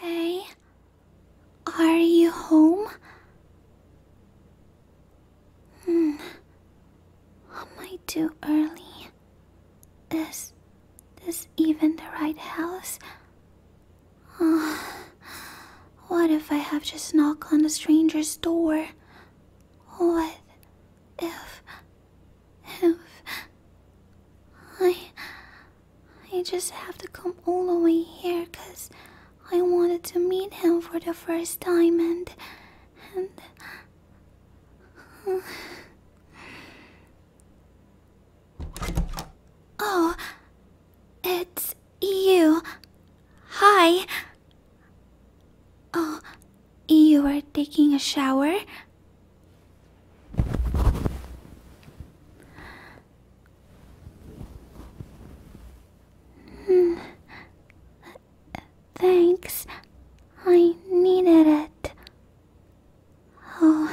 Hey, are you home? Hmm, am I too early? Is this even the right house? Uh, what if I have just knocked on a stranger's door? What if, if, I, I just have to come all the way here because I wanted to meet him for the first time and. and. Oh, it's you. Hi. Oh, you are taking a shower? Mm. Thanks. I needed it. Oh,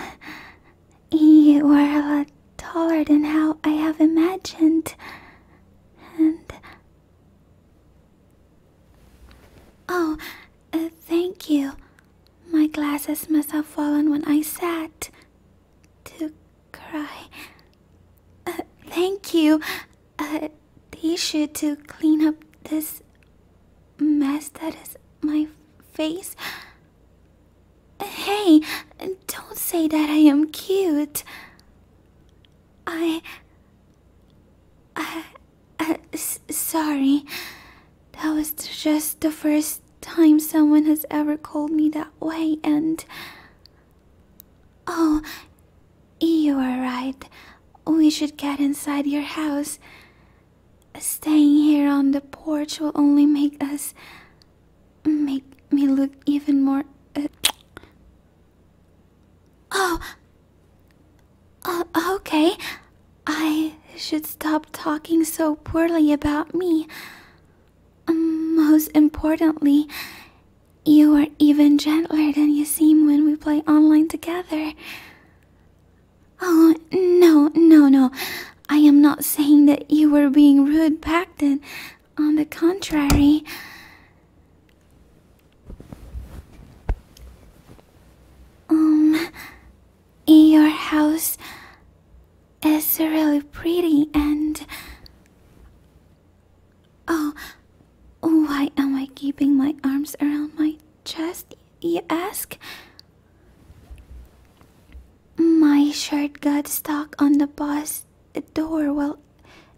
you were a lot taller than how I have imagined. And. Oh. Uh, thank you. My glasses must have fallen when I sat to cry. Uh, thank you. A uh, tissue to clean up this mess that is my face. Hey, don't say that I am cute. I. I. Uh, sorry. That was just the first time someone has ever called me that way, and. Oh, you are right. We should get inside your house. Staying here on the porch will only make us. make me look even more. Uh, oh! Uh, okay, I should stop talking so poorly about me. Um, most importantly, you are even gentler than you seem when we play online together. Oh, no, no, no. I am not saying that you were being rude back then. On the contrary. Um, your house is really pretty and. Oh, why am I keeping my arms around my chest, you ask? My shirt got stuck on the bus door while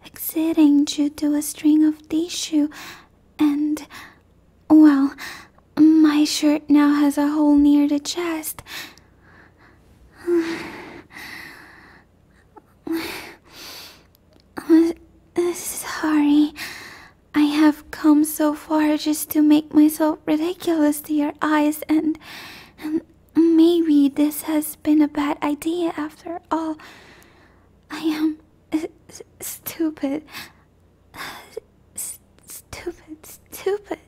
exiting due to a string of tissue and well, my shirt now has a hole near the chest. Sorry, I have come so far just to make myself ridiculous to your eyes, and, and maybe this has been a bad idea after all. I am stupid. stupid, stupid.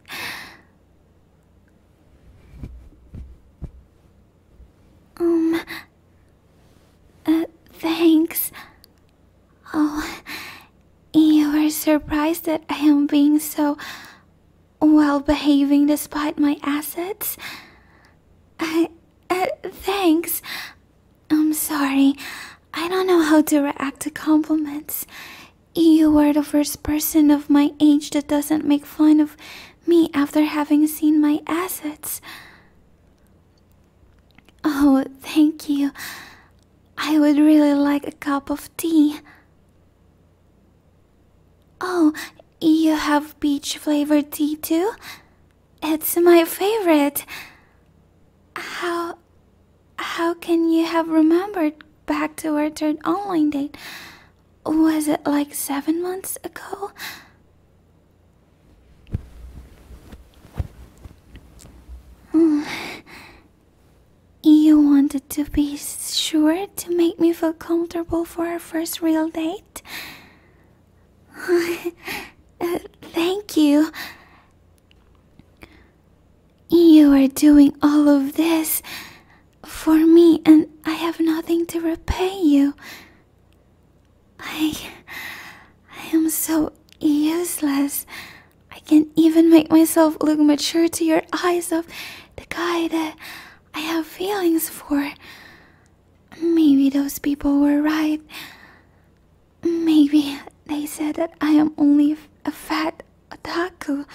Um. Uh, thanks. Oh, you were surprised that I am being so well behaving despite my assets? Uh, thanks. I'm sorry. I don't know how to react to compliments. You are the first person of my age that doesn't make fun of me after having seen my assets. Oh, thank you. I would really like a cup of tea. Oh, you have peach flavored tea too? It's my favorite. How how can you have remembered back to our third online date? Was it like seven months ago? You wanted to be sure to make me feel comfortable for our first real date? thank you. You are doing all of this for me, and I have nothing to repay you. I. I am so useless. I can't even make myself look mature to your eyes of the guy that I have feelings for. Maybe those people were right. Maybe they said that I am only a fat Otaku.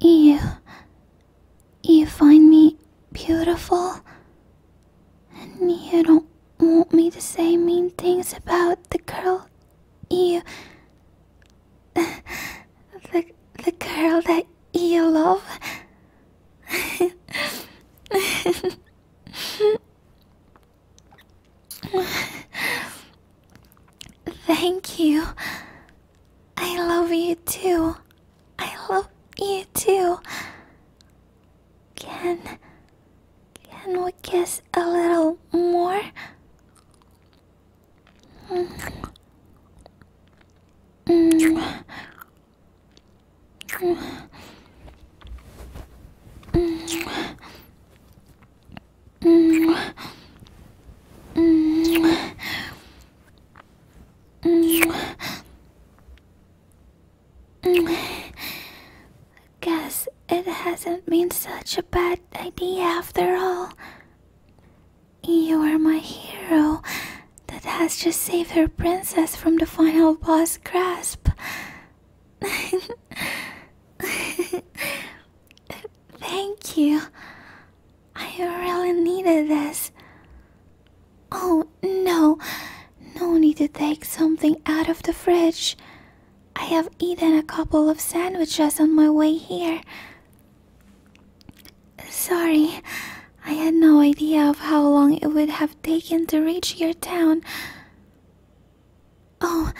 You. You find me beautiful? And you don't want me to say mean things about the girl you the, the girl that you love? Thank you. I love you too. I love you too. Can can we kiss a little more? Guess it hasn't been such a bad idea after all. You are my hero that has just saved her princess from the final boss grasp. Thank you. I really needed this. Oh no, no need to take something out of the fridge. I have eaten a couple of sandwiches on my way here. Sorry, I had no idea of how long it would have taken to reach your town. Oh,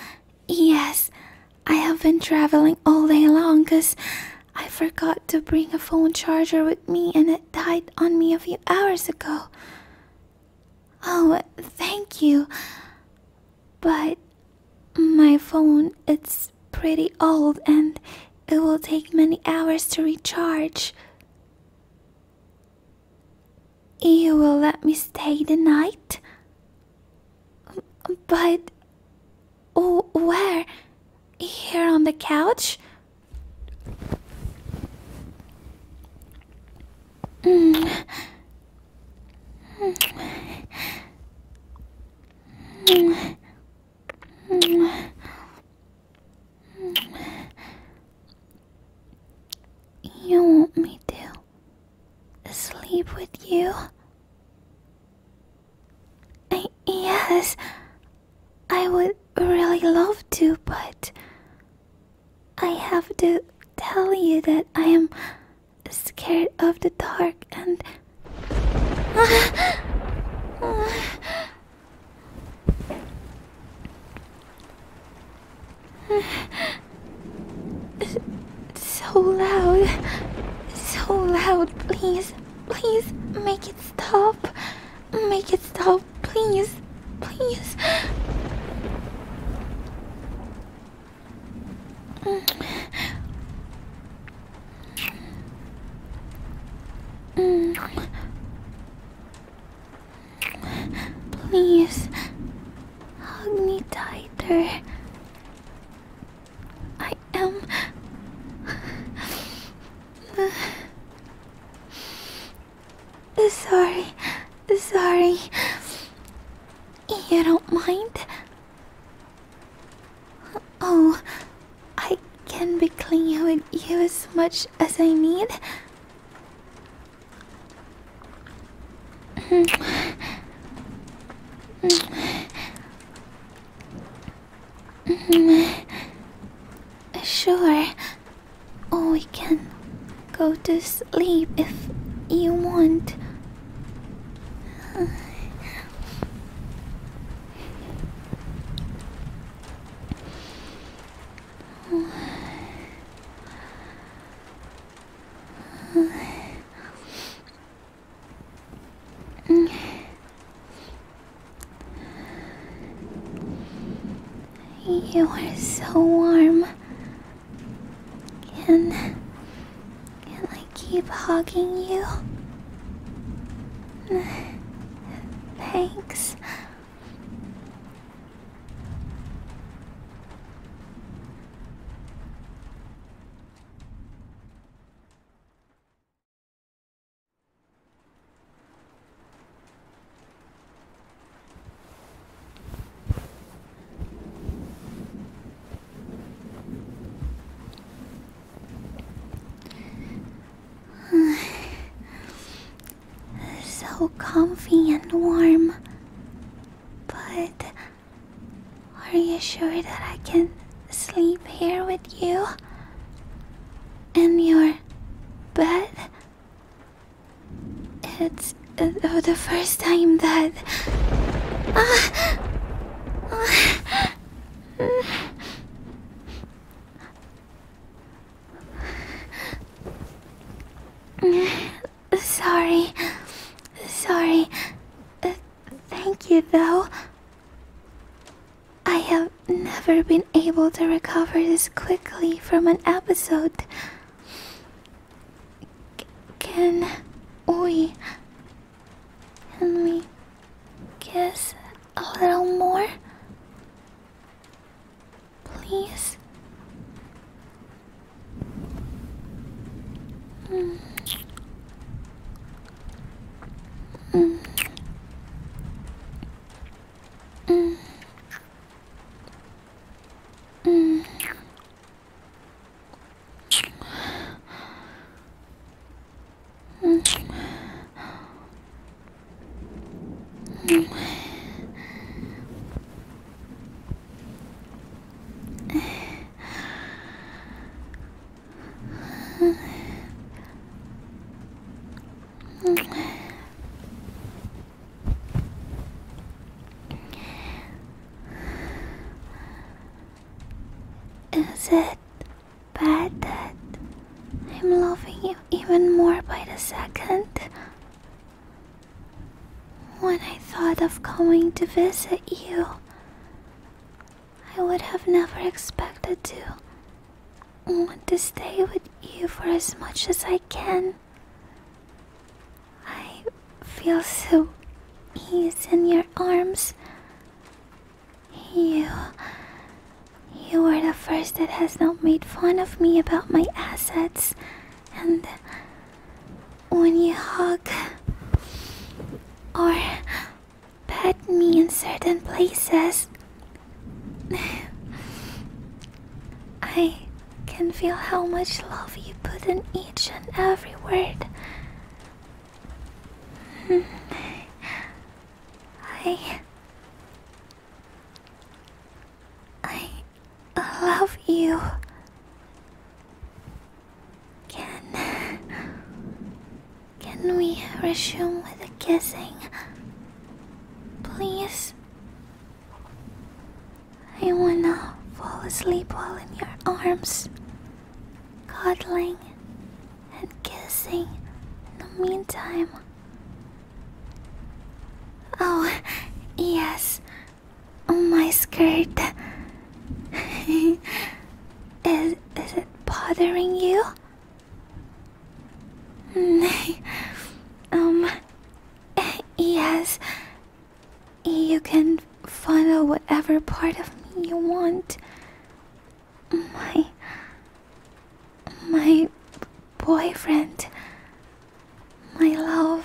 yes, I have been traveling all day long because I forgot to bring a phone charger with me and it died on me a few hours ago. Oh, thank you. But my phone, it's pretty old and it will take many hours to recharge. You will let me stay the night? But. Oh, where? Here on the couch? Mm. You want me to sleep with you? yes, I would really love to, but I have to tell you that I am scared of the dark and so loud. So loud. Please, please make it stop. Make it stop, please. Please. Please, hug me tighter. I am. Sorry, sorry. You don't mind? Oh, I can be clean with you as much as I need. sure. Or oh, we can go to sleep if you want. You are so warm. Can can I keep hugging you? Thanks. so comfy and warm. But are you sure that I can sleep here with you? In your bed? It's uh, oh, the first time that. Ah, ah, Sorry. Sorry. thank you, though. I have never been able to recover this quickly from an episode. can we can we kiss a little more? Please? Mm. Mm. Mm. Mm. Is it but I'm loving you even more by the second. When I thought of coming to visit you, I would have never expected to want to stay with you for as much as I can. I feel so ease in your arms. You. You are the first that has not made fun of me about my assets. And. When you hug. Or. pet me in certain places. I can feel how much love you put in each and every word. I. I love you. Can. Can we resume with the kissing? Please? I wanna fall asleep while in your arms cuddling, and kissing in the meantime. Oh, yes, oh, my skirt. is, is it bothering you? um, yes. You can fondle whatever part of me you want. My. My boyfriend. My love.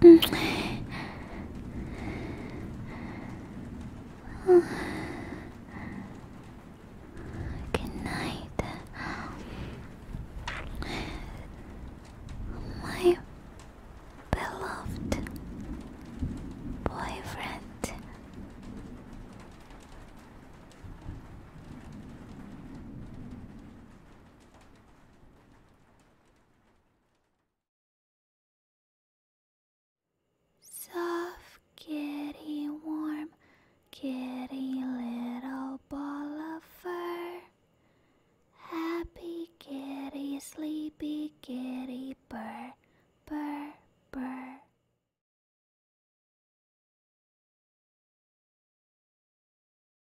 Good night. My beloved boyfriend. Soft, kitty, warm, kitty, little ball of fur. Happy kitty, sleepy kitty, purr, purr, purr.